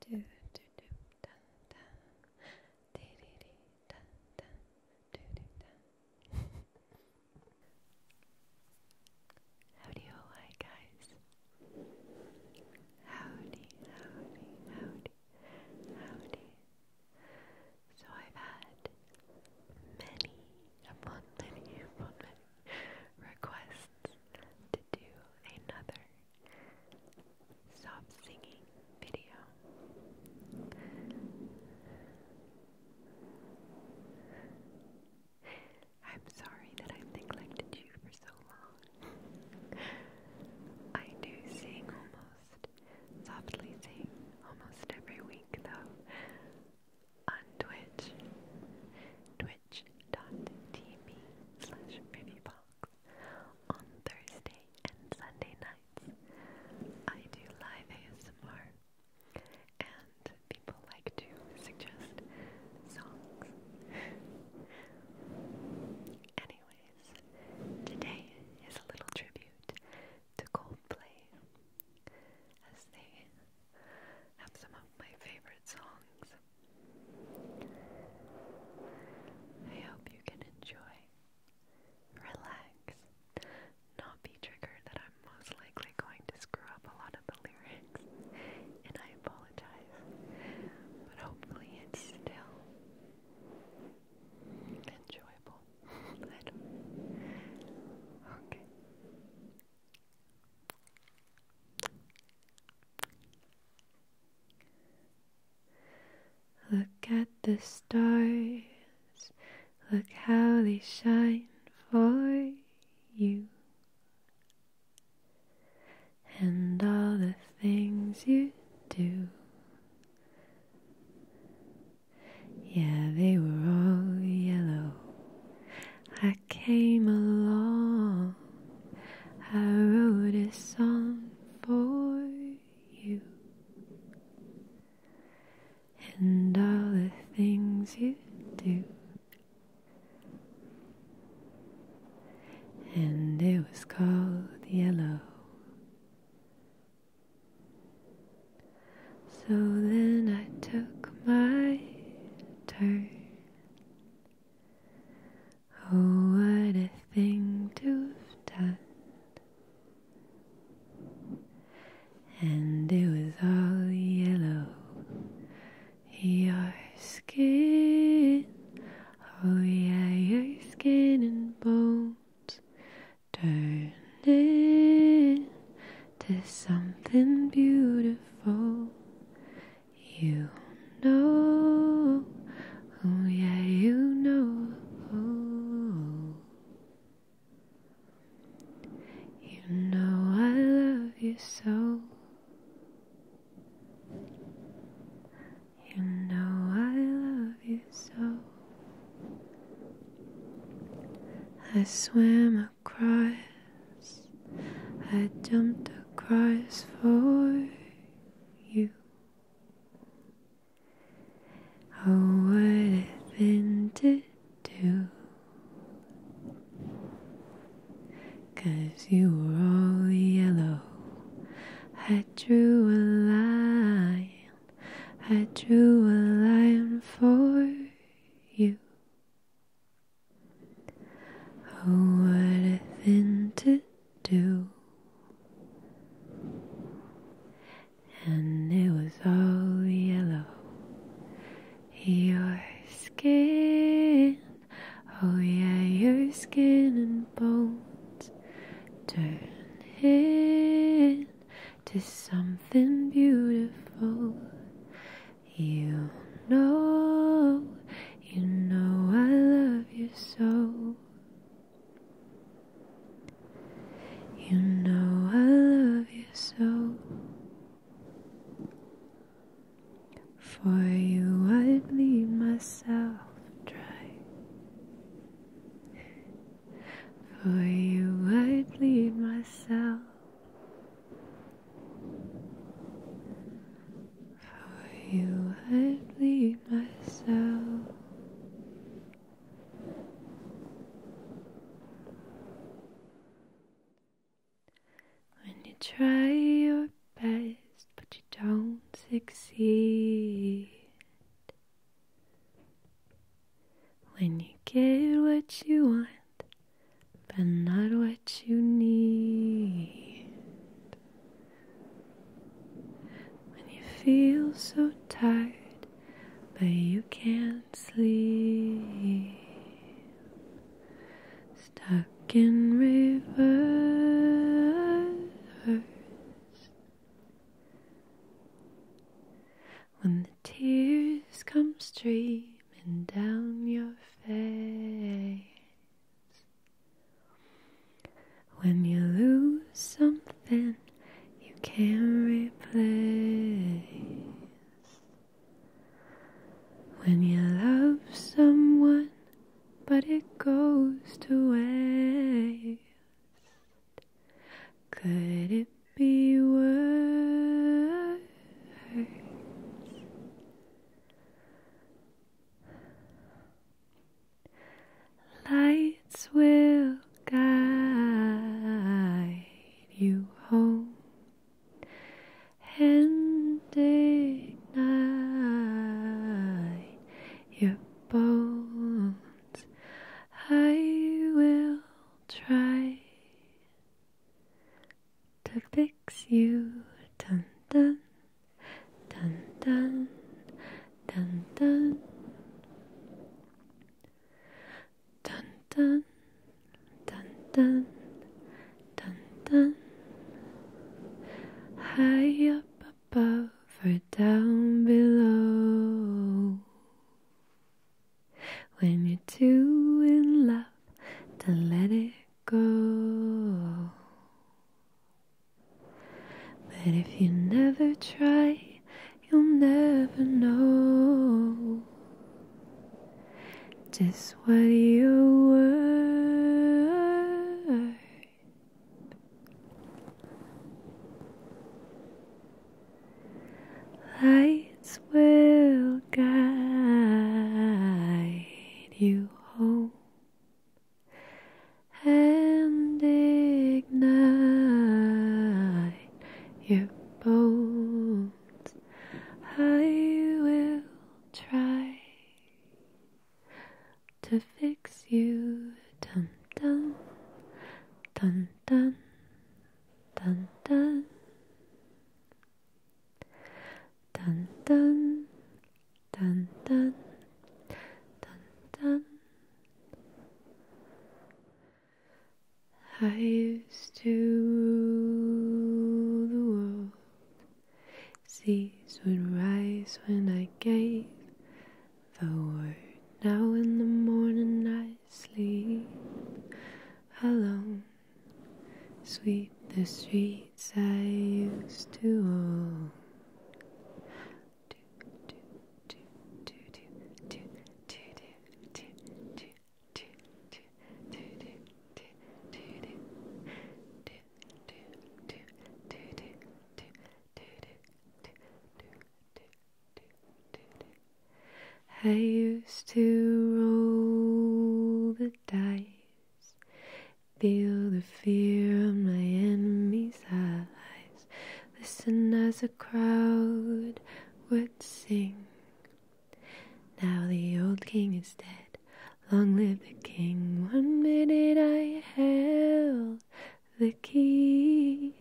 do do do da da dee dee dee da da do do da Howdy ho hi guys Howdy howdy howdy howdy So I've had many upon many upon many requests to do another Stop singing video. I'm sorry that i neglected you for so long. I do sing almost, softly sing almost every week though on Twitch. Twitch twitch.tv slash on Thursday and Sunday nights. I do live ASMR and people like to suggest songs. Anyways, today is a little tribute to Coldplay as they have some of my favorite songs I hope you can enjoy, relax, not be triggered that I'm most likely going to screw up a lot of the lyrics, and I apologize, but hopefully it's still enjoyable. Okay. Look at the stars, look how they shine for you, and all the things you do. Yeah, they were all yellow. I came along I wrote a song for you and all the things you do. And it was called Yellow. So then I took my turn Oh, what a thing to've done! And it was all yellow, your skin. Oh, yeah, your skin and bones turning to something beautiful. You know, oh yeah, you know, oh. you know I love you so. You know I love you so. I swam across, I jumped across for you. Oh, what it have been to do? Cause you were all yellow. I drew a line, I drew a line for you. Oh, what it have been to do. And it was all yellow. Your skin, oh yeah, your skin and bones turn into something beautiful. You know you know I love you so. You know I love you so. For you, I'd bleed myself dry. For you, I'd bleed myself. How you let me myself when you try your best but you don't succeed. When you get what you want, but not what what you need. When you feel so tired, but you can't sleep, stuck in reverse. When the tears come streaming down your face, when you lose something you can't replace. When you love someone but it goes to waste. Could it be worse? Lights will guide you home and ignite your bones. I will try to fix makes you dun dun dun dun dun dun dun dun dun dun dun dun high up above or down below when you're too in love, to let it go. But if you never try, you'll never know just what you were. Lights will guide you home and ignite your bones. I will try to fix you, dum dum, dum dum, dum dum, dum dum dun dun dun dun. I used to rule the world. Seas would rise when I gave the word. Now in the morning I sleep alone. Sweep the streets I used to own. I used to roll the dice Feel the fear on my enemy's eyes. Listen as a crowd would sing. Now the old king is dead. Long live the king. One minute I held the key.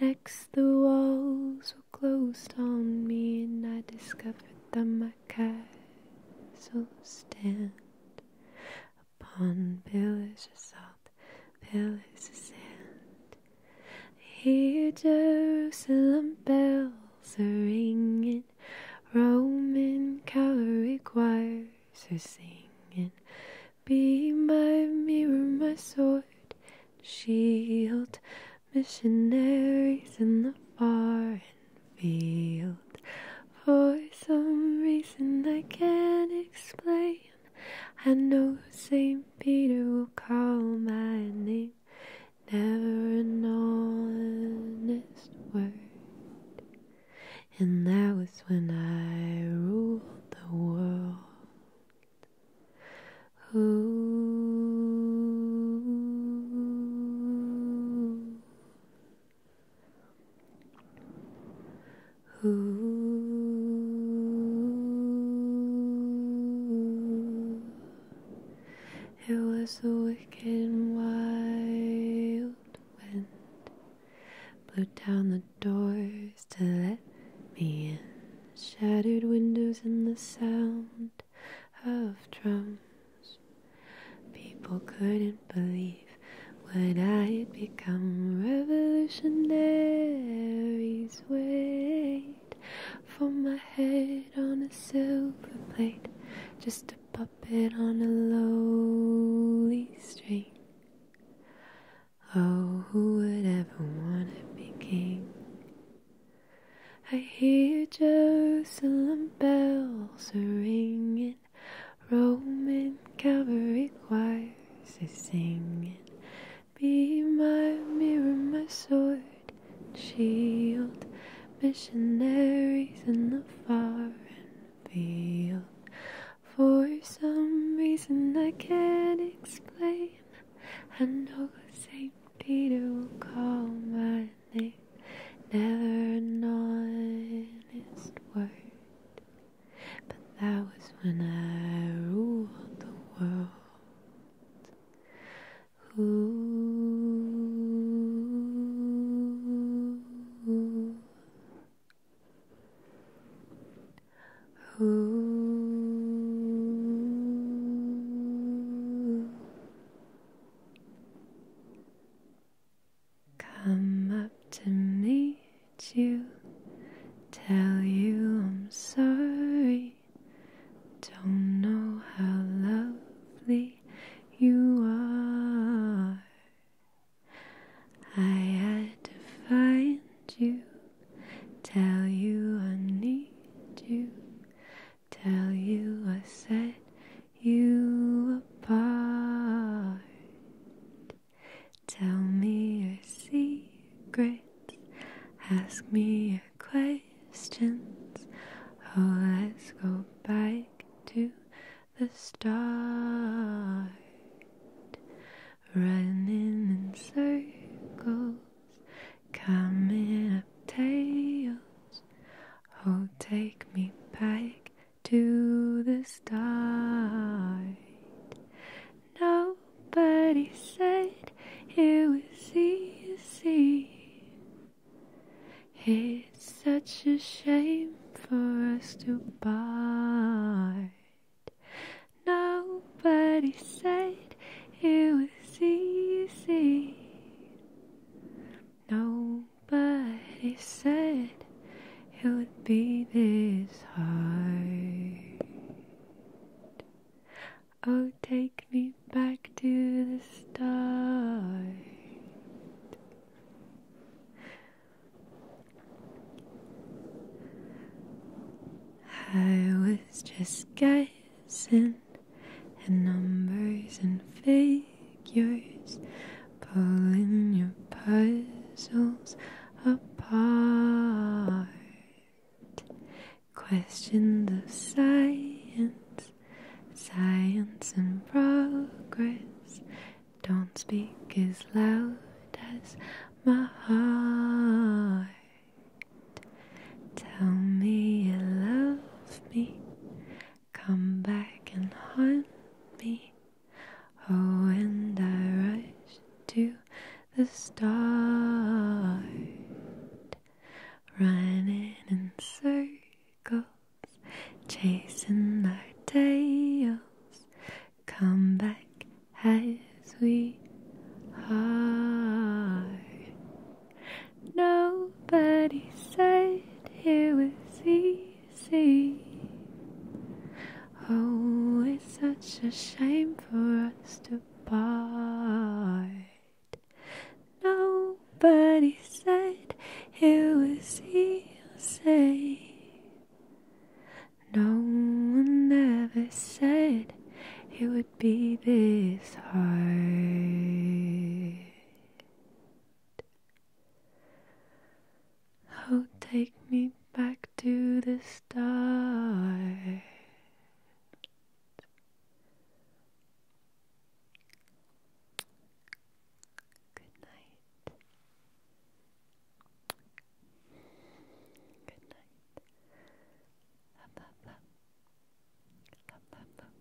Next, the walls were closed on me, and I discovered that my castle stand upon billows of salt, billows of sand. Hear Jerusalem bells are ringing, Roman Calvary choirs are singing. Be my mirror, my sword, shield, missionaries in the far and for some reason I can't explain, I know St. Peter will call my name. Never an honest word. And that was when I ruled the world. Ooh. Ooh, it was a wicked and wild wind, blew down the doors to let me in, shattered windows and the sound of drums. People couldn't believe when I would become revolutionary. Swayed for my head on a silver plate, just a puppet on a lowly string. Oh, who would ever want to be king? I hear Jerusalem bells ringing. Roman cavalry choirs is singing, Be my mirror, my sword, and shield, missionaries in the far and field. For some reason I can't explain, I know St. Peter will call my name, never an honest word. But that was when I ruled the world. Ooh. Ooh. Come up to meet you, tell you I'm sorry. Don't know how lovely you are. I had to find you, tell you I need you, tell you I set you apart. Tell me your secrets, ask me your questions. Oh, let's go back to the start. Running in circles, coming up tails. Oh, take me back to the start. Nobody said it was easy. It's such a shame for us to part. Nobody said it was easy. No but he said it would be this hard. Oh, take me back to the start. I was just guessing at numbers and figures pulling your puzzles apart. Questions of science, science and progress. Don't speak as loud as my heart. Tell me you love me. Come back and haunt me. Oh, and I rush to the start, running in circles, chasing our tails. Come back as we are. Nobody said it was easy see. Oh, it's such a shame for us to part. Nobody said it was easy. No one ever said it would be this hard. Oh, take me back to the start. Good night. Good night. Love, love, love. Love, love, love.